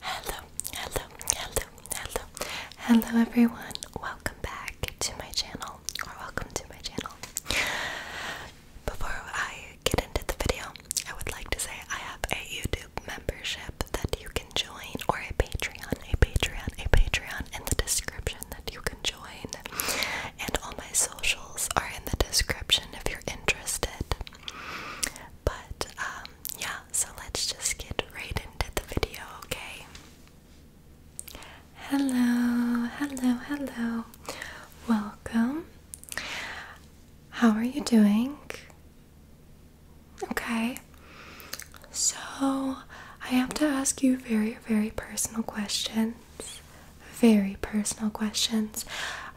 Hello, hello, hello, hello, hello everyone. Welcome back to my channel, or welcome to my channel. Before I get into the video, I would like to say I have a YouTube membership that you can join, or a Patreon, a Patreon, a Patreon in the description that you can join. And all my socials are in the description if you're interested. But um, yeah, so let's just get right into the video, okay? Hello, hello, hello. Welcome. How are you doing? Okay. So, I have to ask you very, very personal questions. Very personal questions.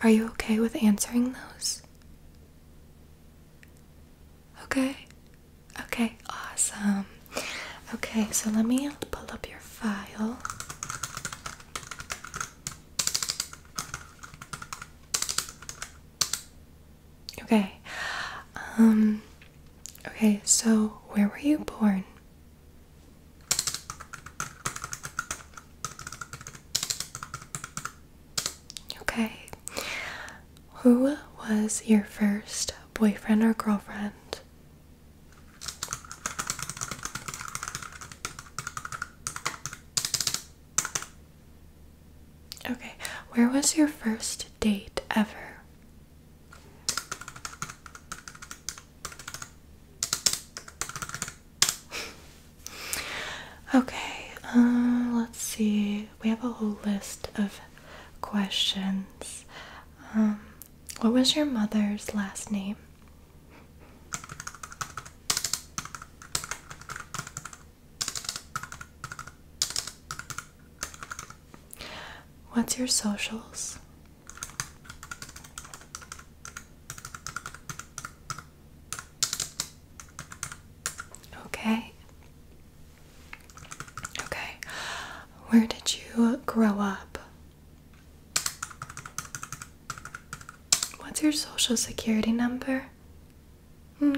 Are you okay with answering those? Okay. Okay, awesome. Okay, so let me pull up your file. Okay. Um okay, so where were you born? Okay. Who was your first boyfriend or girlfriend? Okay, where was your first date ever? Okay, uh, let's see. We have a whole list of questions. Um, what was your mother's last name? What's your socials? Okay. Okay. Where did you grow up? What's your social security number? Okay.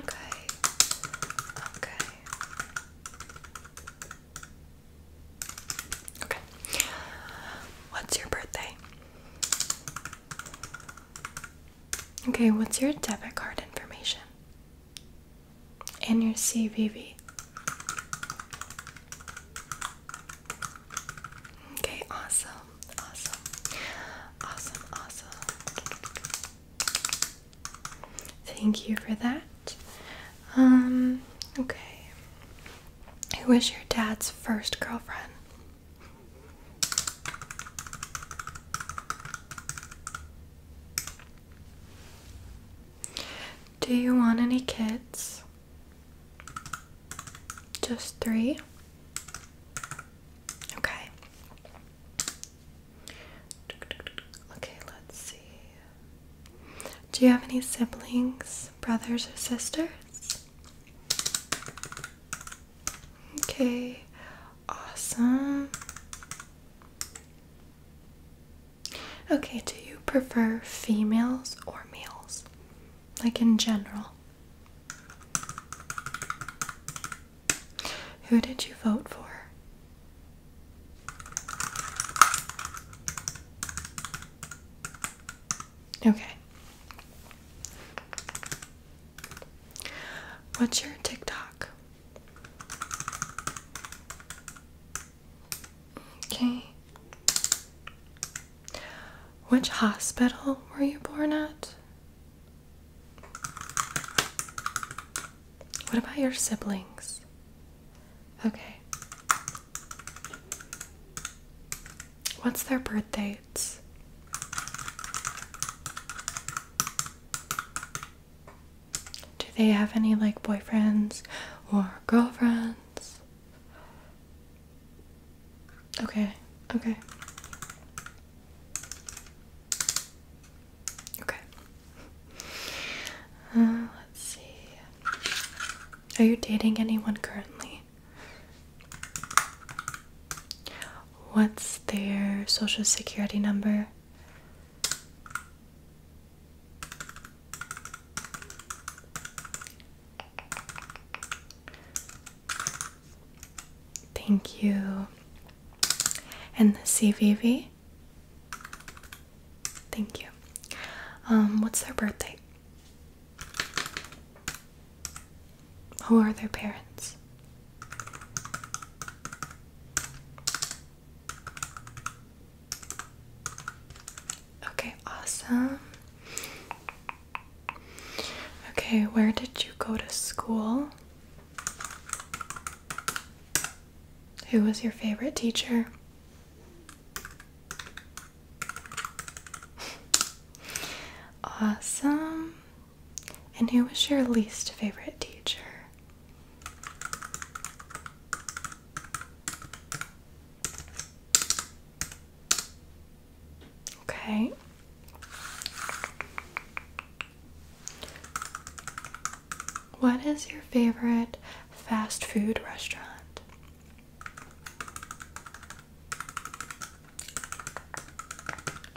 Okay. Okay. What's your birthday? Okay, what's your debit card information? And your CVV. Okay, awesome, awesome, awesome, awesome. Thank you for that. Um, okay. Who was your dad's first girlfriend? Do you want any kids? Just three? Okay. Okay, let's see. Do you have any siblings, brothers, or sisters? Okay, Awesome. Okay, do you prefer females or males? Like in general? Who did you vote for? Okay. What's your TikTok? Okay. Which hospital were you born at? What about your siblings? Okay. What's their birthday? Do they have any like boyfriends or girlfriends? Okay, okay. Okay. Uh, let's see. Are you dating anyone currently? What's their social security number? Thank you. And the CVV? Thank you. Um, what's their birthday? Who are their parents? Okay, awesome. Okay, where did you go to school? Who was your favorite teacher? Awesome. And who was your least favorite teacher? Okay. What is your favorite fast food restaurant?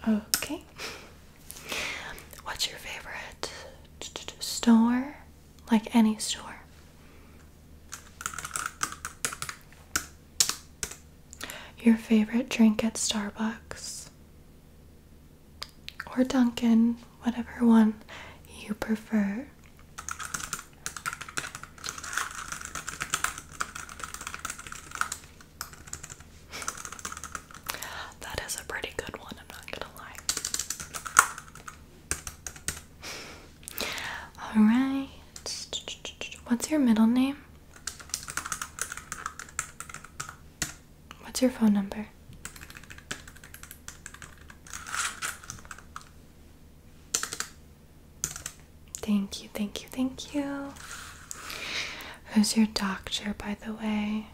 Okay. What's your favorite store? Like any store? Your favorite drink at Starbucks? Or Dunkin', whatever one you prefer. That is a pretty good one, I'm not gonna lie. Alright. What's your middle name? What's your phone number? Thank you, thank you, thank you. Who's your doctor, by the way?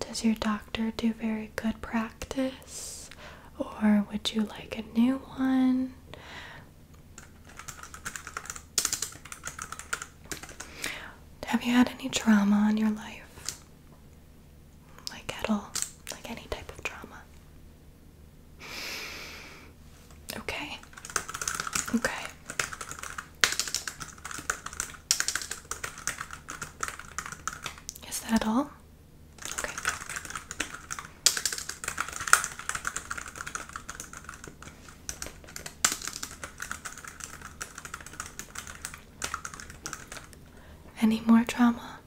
Does your doctor do very good practice? Or would you like a new one? Have you had any drama in your life? Like at all? Like any type of drama? Okay. Okay. Is that all? Okay. Any more drama?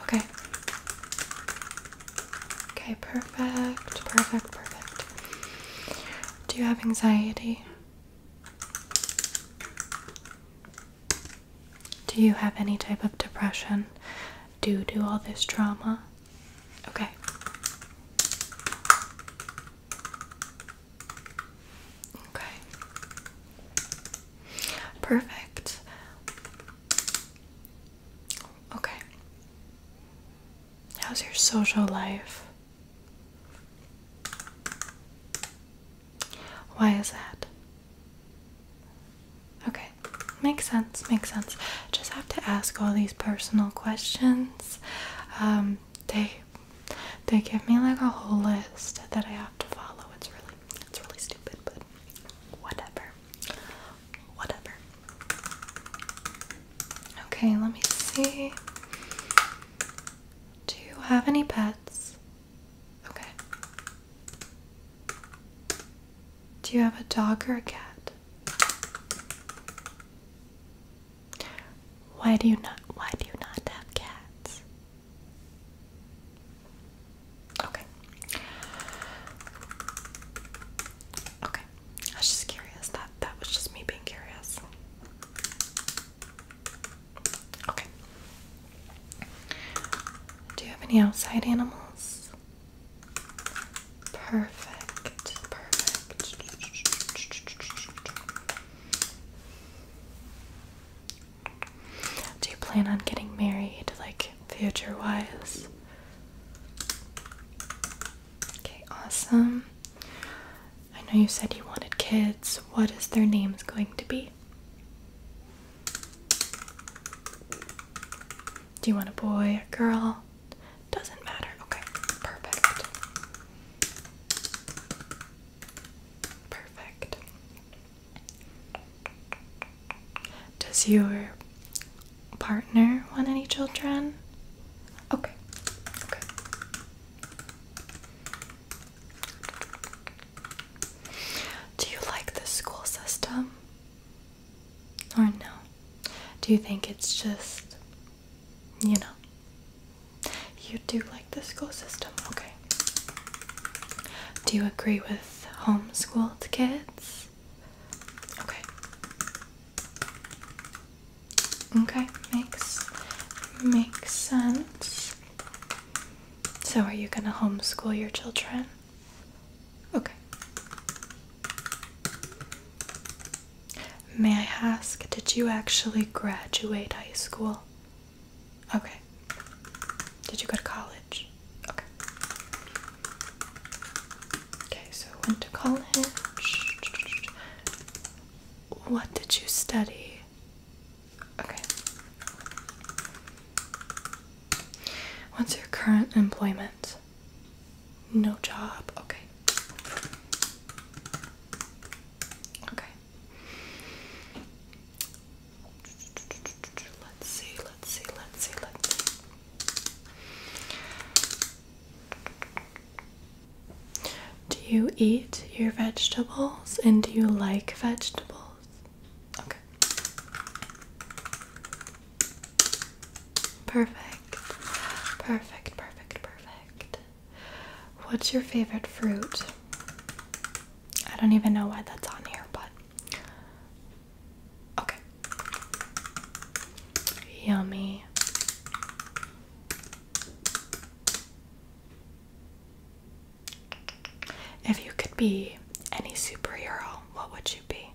Okay. Okay, perfect, perfect, perfect. Do you have anxiety? Do you have any type of depression Do do all this trauma? Okay. Okay. Perfect. Okay. How's your social life? Why is that? Okay, makes sense, makes sense. Just have to ask all these personal questions. Um, they they give me like a whole list that I have to follow. It's really it's really stupid, but whatever. Whatever. Okay, let me see. Do you have any pets? Okay. Do you have a dog or a cat? Why do you not why do you not have cats? Okay. Okay. I was just curious. That that was just me being curious. Okay. Do you have any outside animals? Perfect. Perfect. Do you plan on getting married, like future wise? Okay, awesome. I know you said you wanted kids. What is their names going to be? Do you want a boy, a girl? Doesn't matter. Okay, perfect. Perfect. Does your partner want any children? Okay. Okay. Do you like the school system? Or no? Do you think it's just, you know, you do like the school system? Okay. Do you agree with homeschooled kids? Okay. Okay, makes makes sense. So are you gonna homeschool your children? Okay. May I ask, did you actually graduate high school? Okay. Did you go to college? Okay. Okay, so went to college. What did you study? Okay. What's your current employment? No job. Okay. Okay. Let's see, let's see, let's see, let's do you eat your vegetables and do you like vegetables? Okay. Perfect. Perfect, perfect, perfect. What's your favorite fruit? I don't even know why that's on here, but Okay. Yummy. If you could be any superhero, what would you be?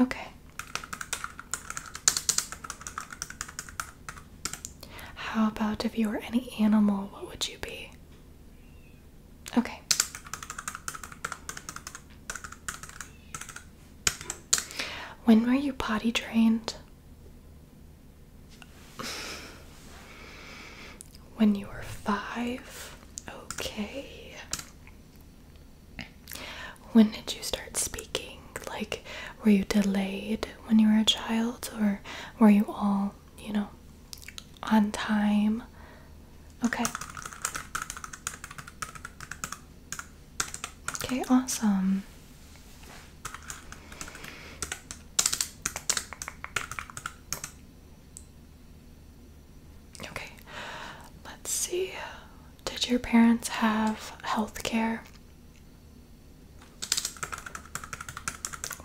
Okay. How about if you were any animal, what would you be? Okay. When were you potty trained? When you were five? Okay. When did you start speaking? Like, were you delayed when you were a child, or were you all, you know, on time? Okay. Okay, awesome. Okay, let's see. Did your parents have health care?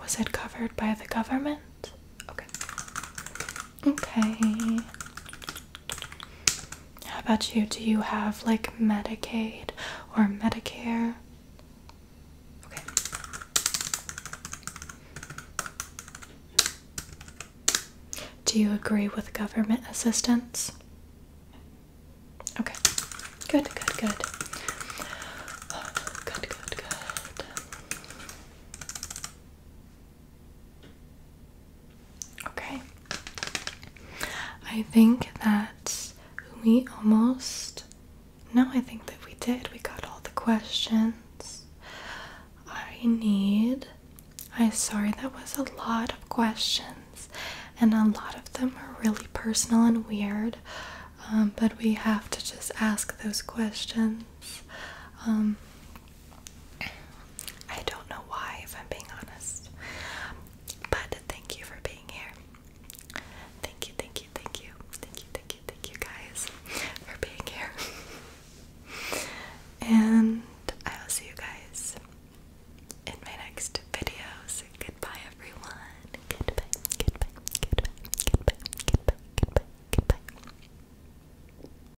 Was it covered by the government? Okay. Okay. How about you? Do you have like Medicaid or Medicare? Okay. Do you agree with government assistance? Okay. Good, good, good. Good, good, good. Okay. I think that we almost. No, I think that we did. We got all the questions. I need. I'm sorry, that was a lot of questions, and a lot of them are really personal and weird. Um, but we have to just ask those questions. Um, I don't know why, if I'm being honest. But thank you for being here. Thank you, thank you, thank you, thank you, thank you, thank you guys for being here. and I will see you guys in my next videos. Goodbye, everyone. Goodbye, goodbye, goodbye, goodbye, goodbye, goodbye, goodbye.